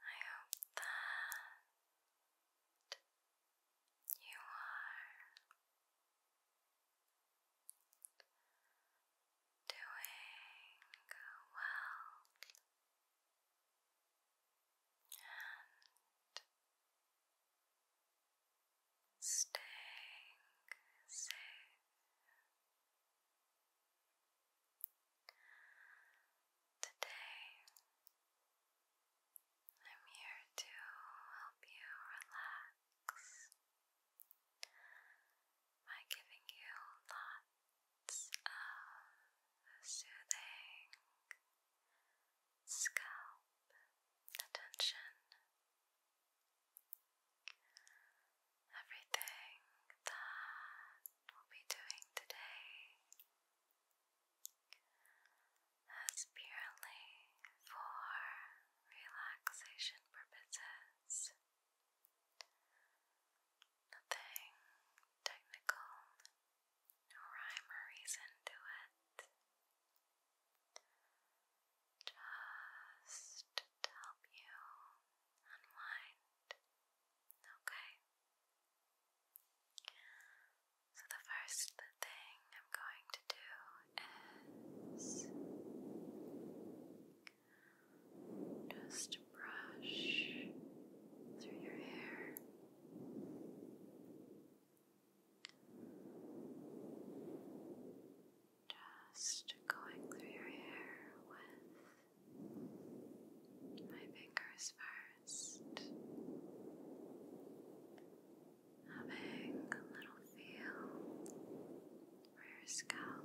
I hope that you are doing well and Stay, safe. Today, I'm here to help you relax by giving you lots of soothing scalp, attention, everything that we'll be doing today as purely for relaxation purposes. Nothing technical, no rhyme or reason to it just to help you unwind, okay? So, the first thing I'm going to do is just brush through your hair. Just going through your hair with my fingers first. Having a little feel for your scalp.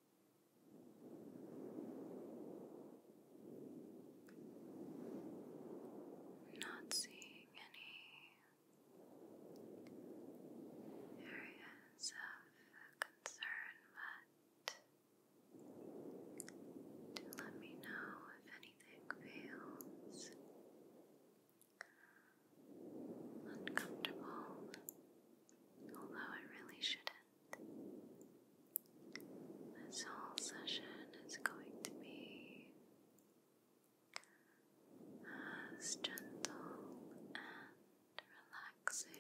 Not seeing any areas of concern, but do let me know if anything fails uncomfortable, although it really shouldn't. This whole session is going to be as gentle and relaxing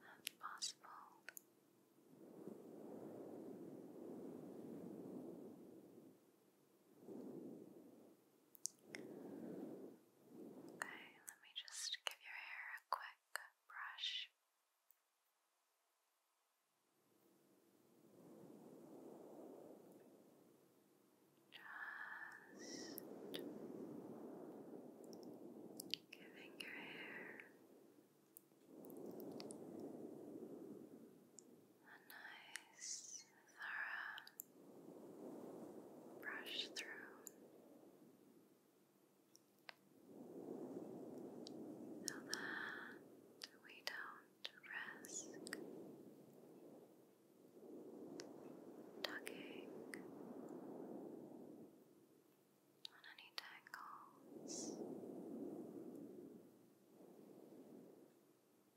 as possible. Okay, let me just give your hair a quick brush. Just giving your hair a nice brush through. So that we don't risk tugging on any tangles.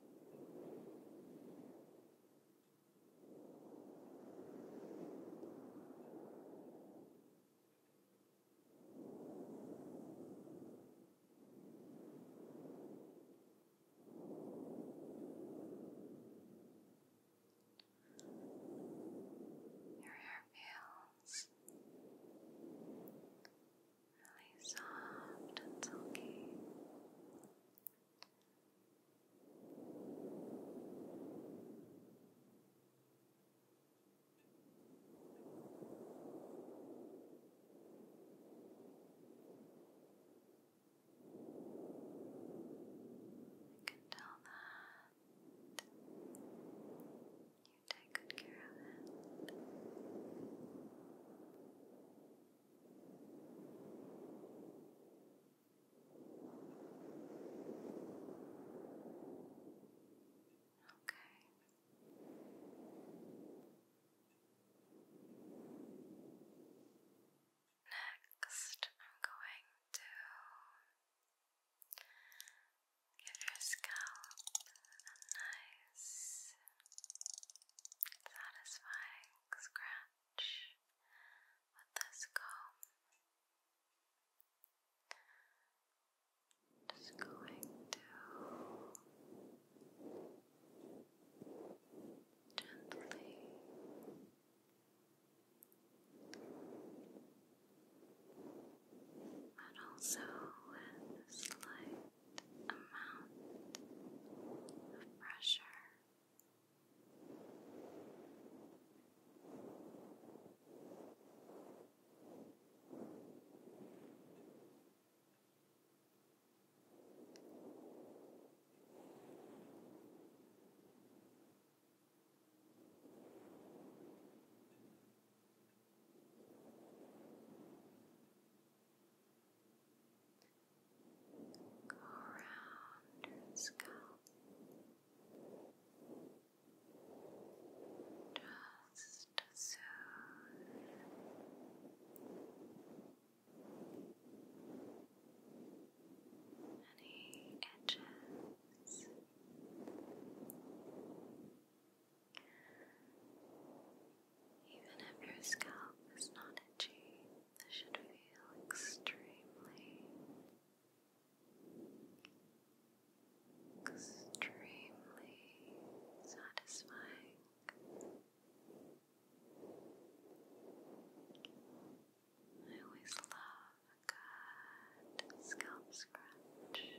Your hair feels really soft and silky. I can tell that you take good care of it. Next, I'm going to give your scalp a nice satisfying scratch with this comb. Just going to gently but also with slight amount of pressure. Go around her scalp. Just soothe. Any edges. Even if your scalp is not itchy, this should feel extremely, extremely satisfying. I always love a good scalp scratch.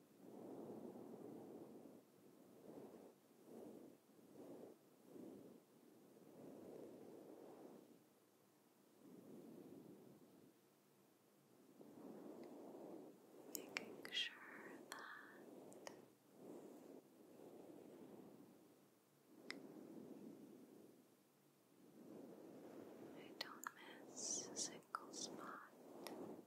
Making sure that I don't miss a single spot.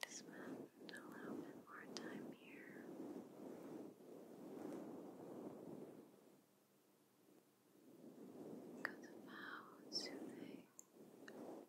to spend a little bit more time here. Because of how soothing it feels.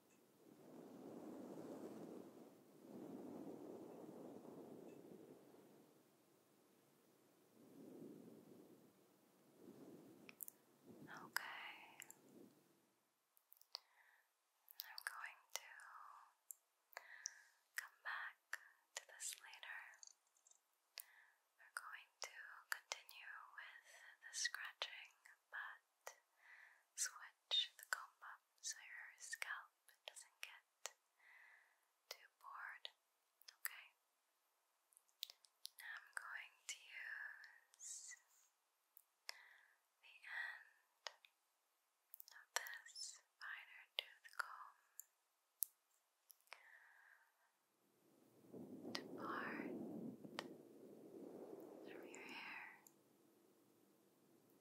Okay. I'm going to come back to this later. We're going to continue with the scratching, but switch the comb up so your scalp doesn't get too bored. Okay. I'm going to use the end of this finer tooth comb to part from your hair.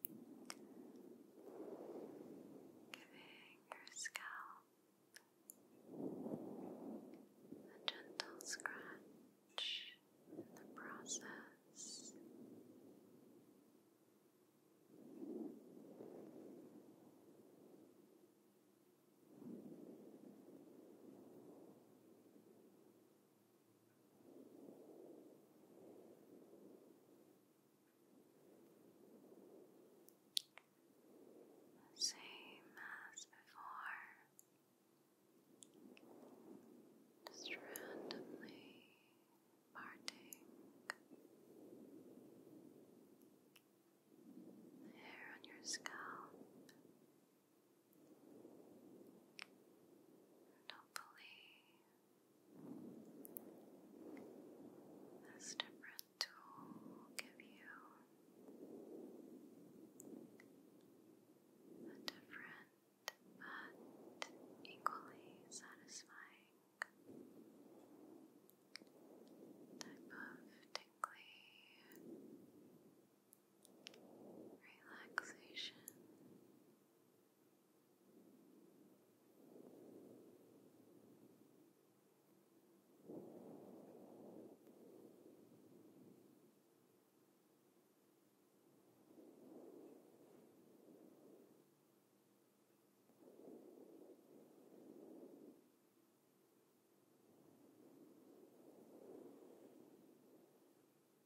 Giving your scalp a gentle scratch in the process. Same as before, just randomly parting hair on your scalp. And hopefully, this different tool will give you a different but equally satisfying type of tingly relaxation. Relaxation.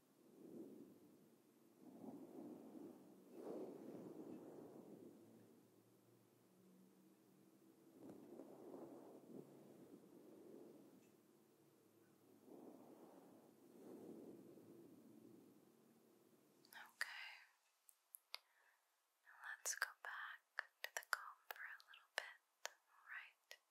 Okay. Now let's go back to the comb for a little bit, alright?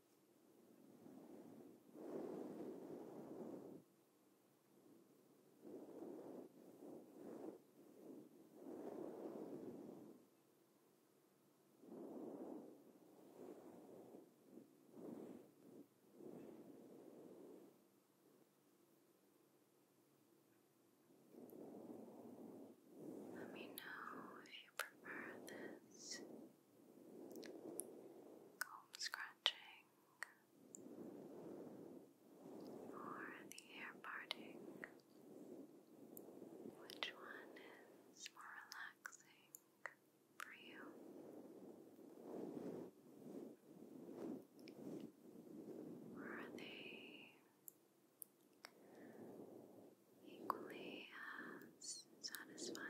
Let me know if you prefer this comb scratching, or the hair parting. Which one is more relaxing for you? are they equally as satisfying?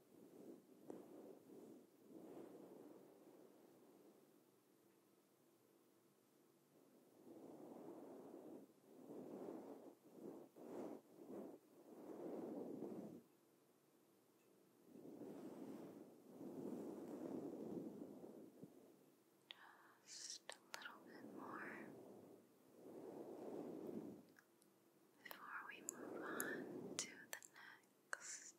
just a little bit more before we move on to the next relaxed.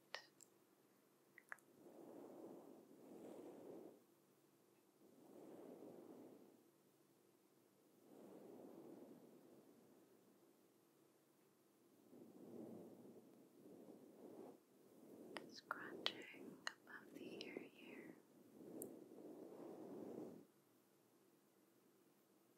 Scratching above the ear here.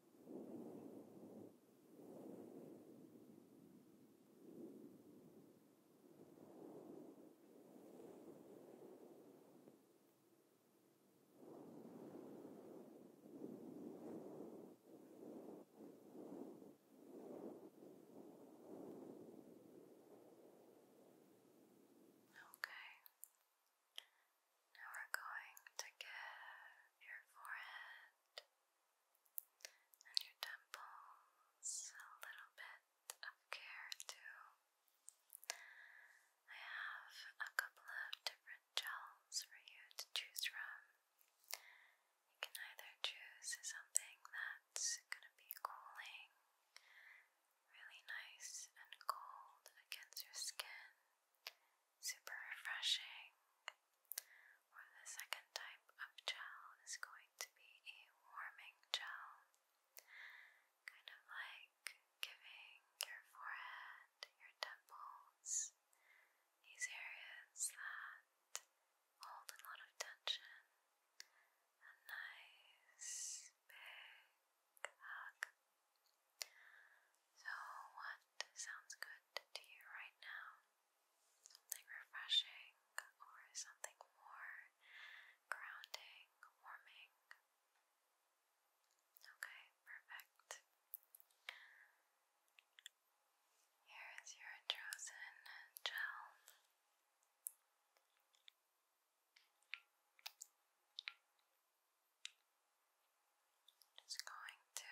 Okay. Now we're going to give your forehead and your temples, a little bit of care too. I have a couple of different gels for you to choose from. You can either choose something that's going to be cooling, really nice and cold against your skin super refreshing. the second type of gel is going to be a warming gel, kind of like giving your forehead, your temples, these areas that hold a lot of tension, a nice big hug. So, what sounds good to you right now? something refreshing or something more grounding, warming. Okay, perfect. Here is your chosen gel. Just going to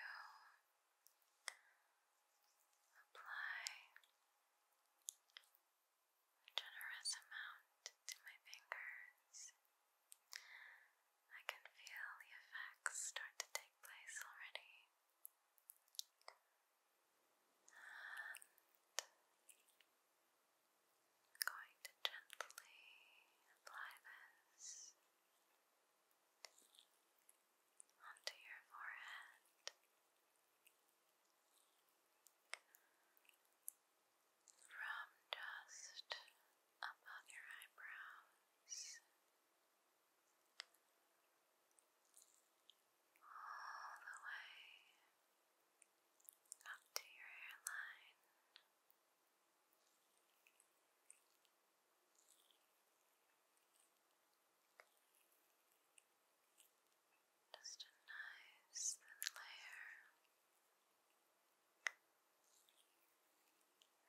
Apply generous amount to my fingers. I can feel the effects start to take place already. going to gently apply this onto your forehead. From just above your eyebrows all the way up to your hairline. Just a nice thin layer,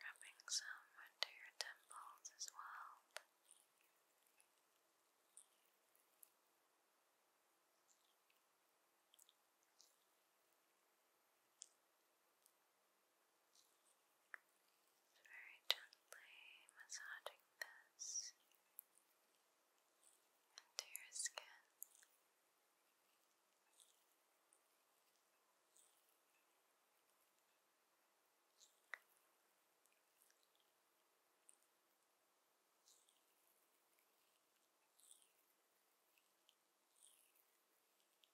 rubbing some into your temples as well very gently massaging this into your skin. Very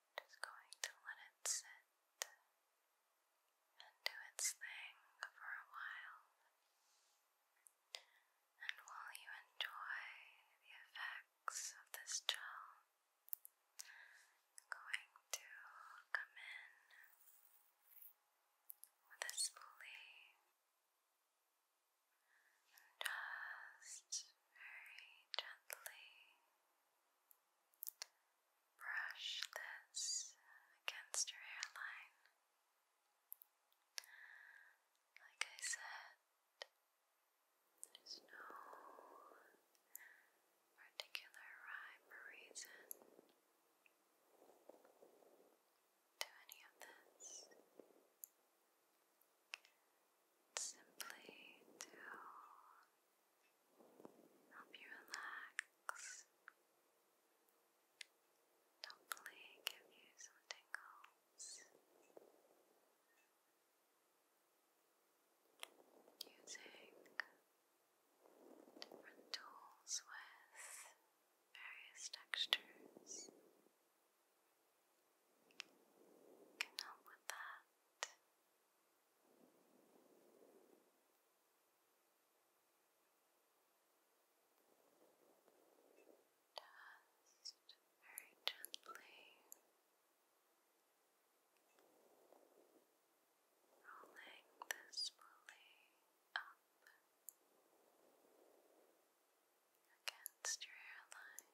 just going to let it sit and do its thing for a while. And while you enjoy the effects of this gel, going to come in with a spoolie just very gently Brush this against your hairline. Like I said, there's no particular rhyme or reason to any of this. Simply to Help you relax. Hopefully give you some tingles. Using different tools with various textures can help with that. Dust very gently rolling this pulley up against your hairline.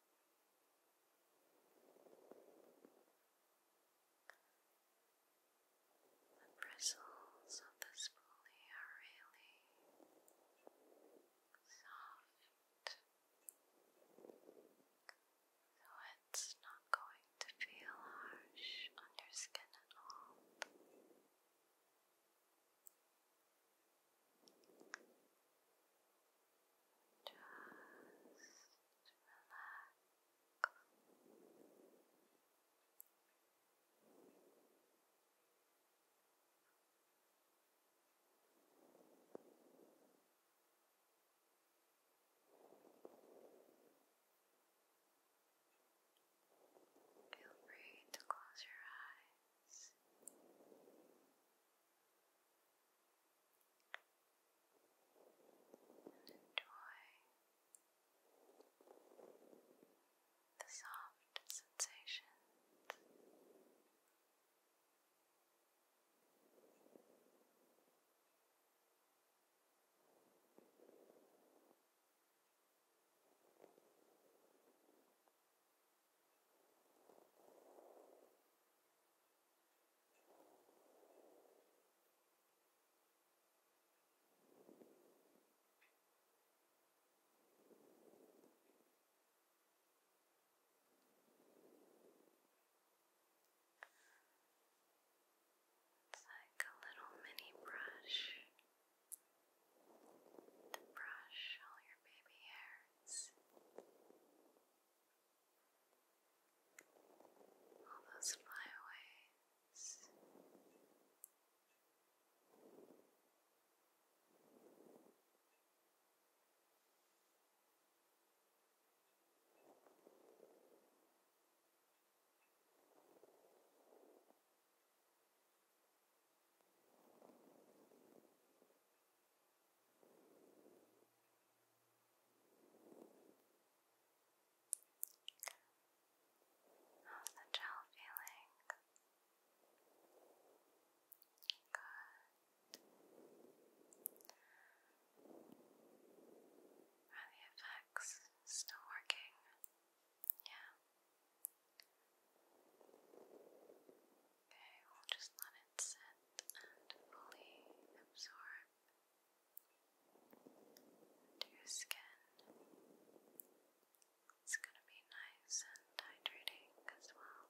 The bristles of this pulley are really soft, so it's not going to feel harsh on your skin at all. Feel free to close your eyes and enjoy the soft sensations. Now, it's like a little mini brush to brush all your baby hair words. All those flyaways. All How's the gel feeling? Good. Are the effects still working? Yeah. Okay, we'll just let it sit and fully absorb into your skin. It's going to be nice and hydrating as well.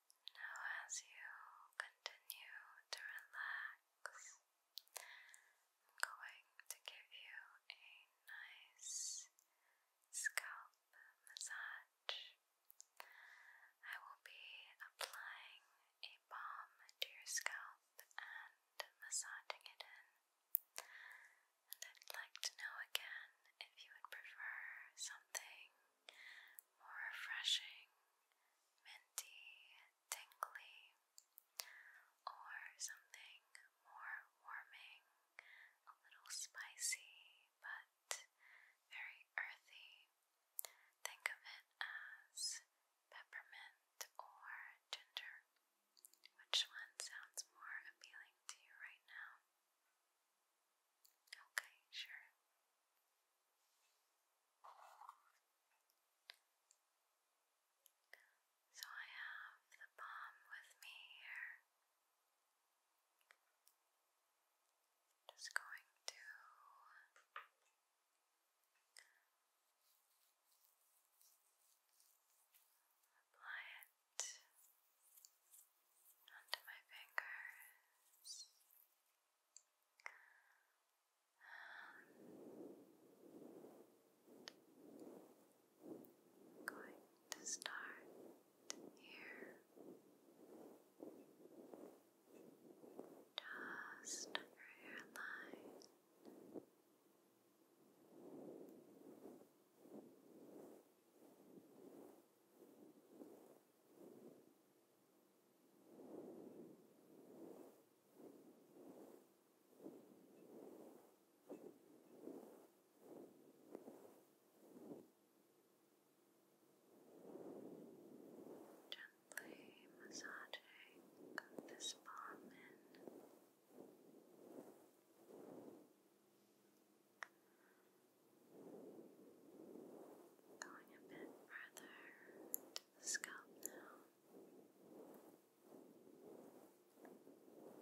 Now, as you continue to relax, I'm going to give you a nice scalp massage. I will be applying a balm to your scalp and massaging it in. And I'd like to know again if you would prefer something more refreshing minty, tingly, or something more warming, a little spicy, but very earthy. Think of it as peppermint or ginger. Which one sounds more appealing to you right now? Okay, sure. So I have the palm with me here. Just going to apply it onto my fingers. I'm going to start here. Just under your line. Down Gently massaging this palm in. Going a bit further to the scalp now.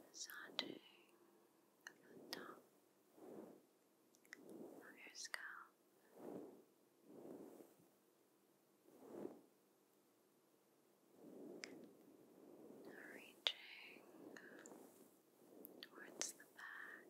Massaging the top of your scalp. reaching towards the back.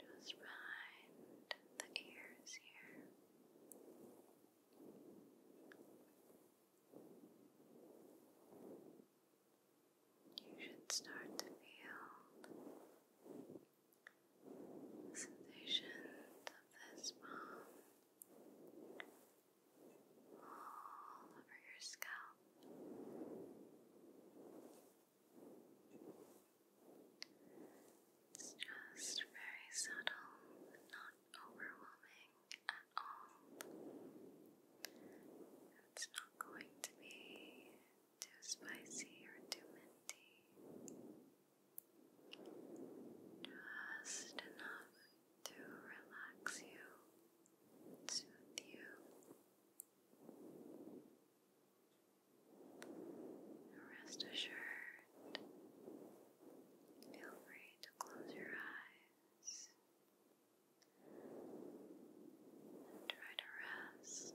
Just behind the ears here. You should start to feel the sensations of this balm all over your scalp. It's just very subtle, not overwhelming at all. It's not going to be too spicy or too minty. Just enough to relax you, soothe you. Rest assured, feel free to close your eyes and try to rest.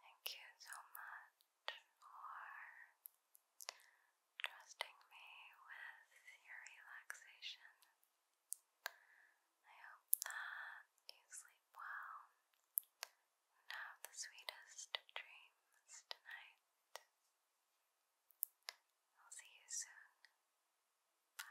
Thank you so much for trusting me with your relaxation. I hope that you sleep well and have the sweetest of dreams tonight. I'll see you soon. Bye.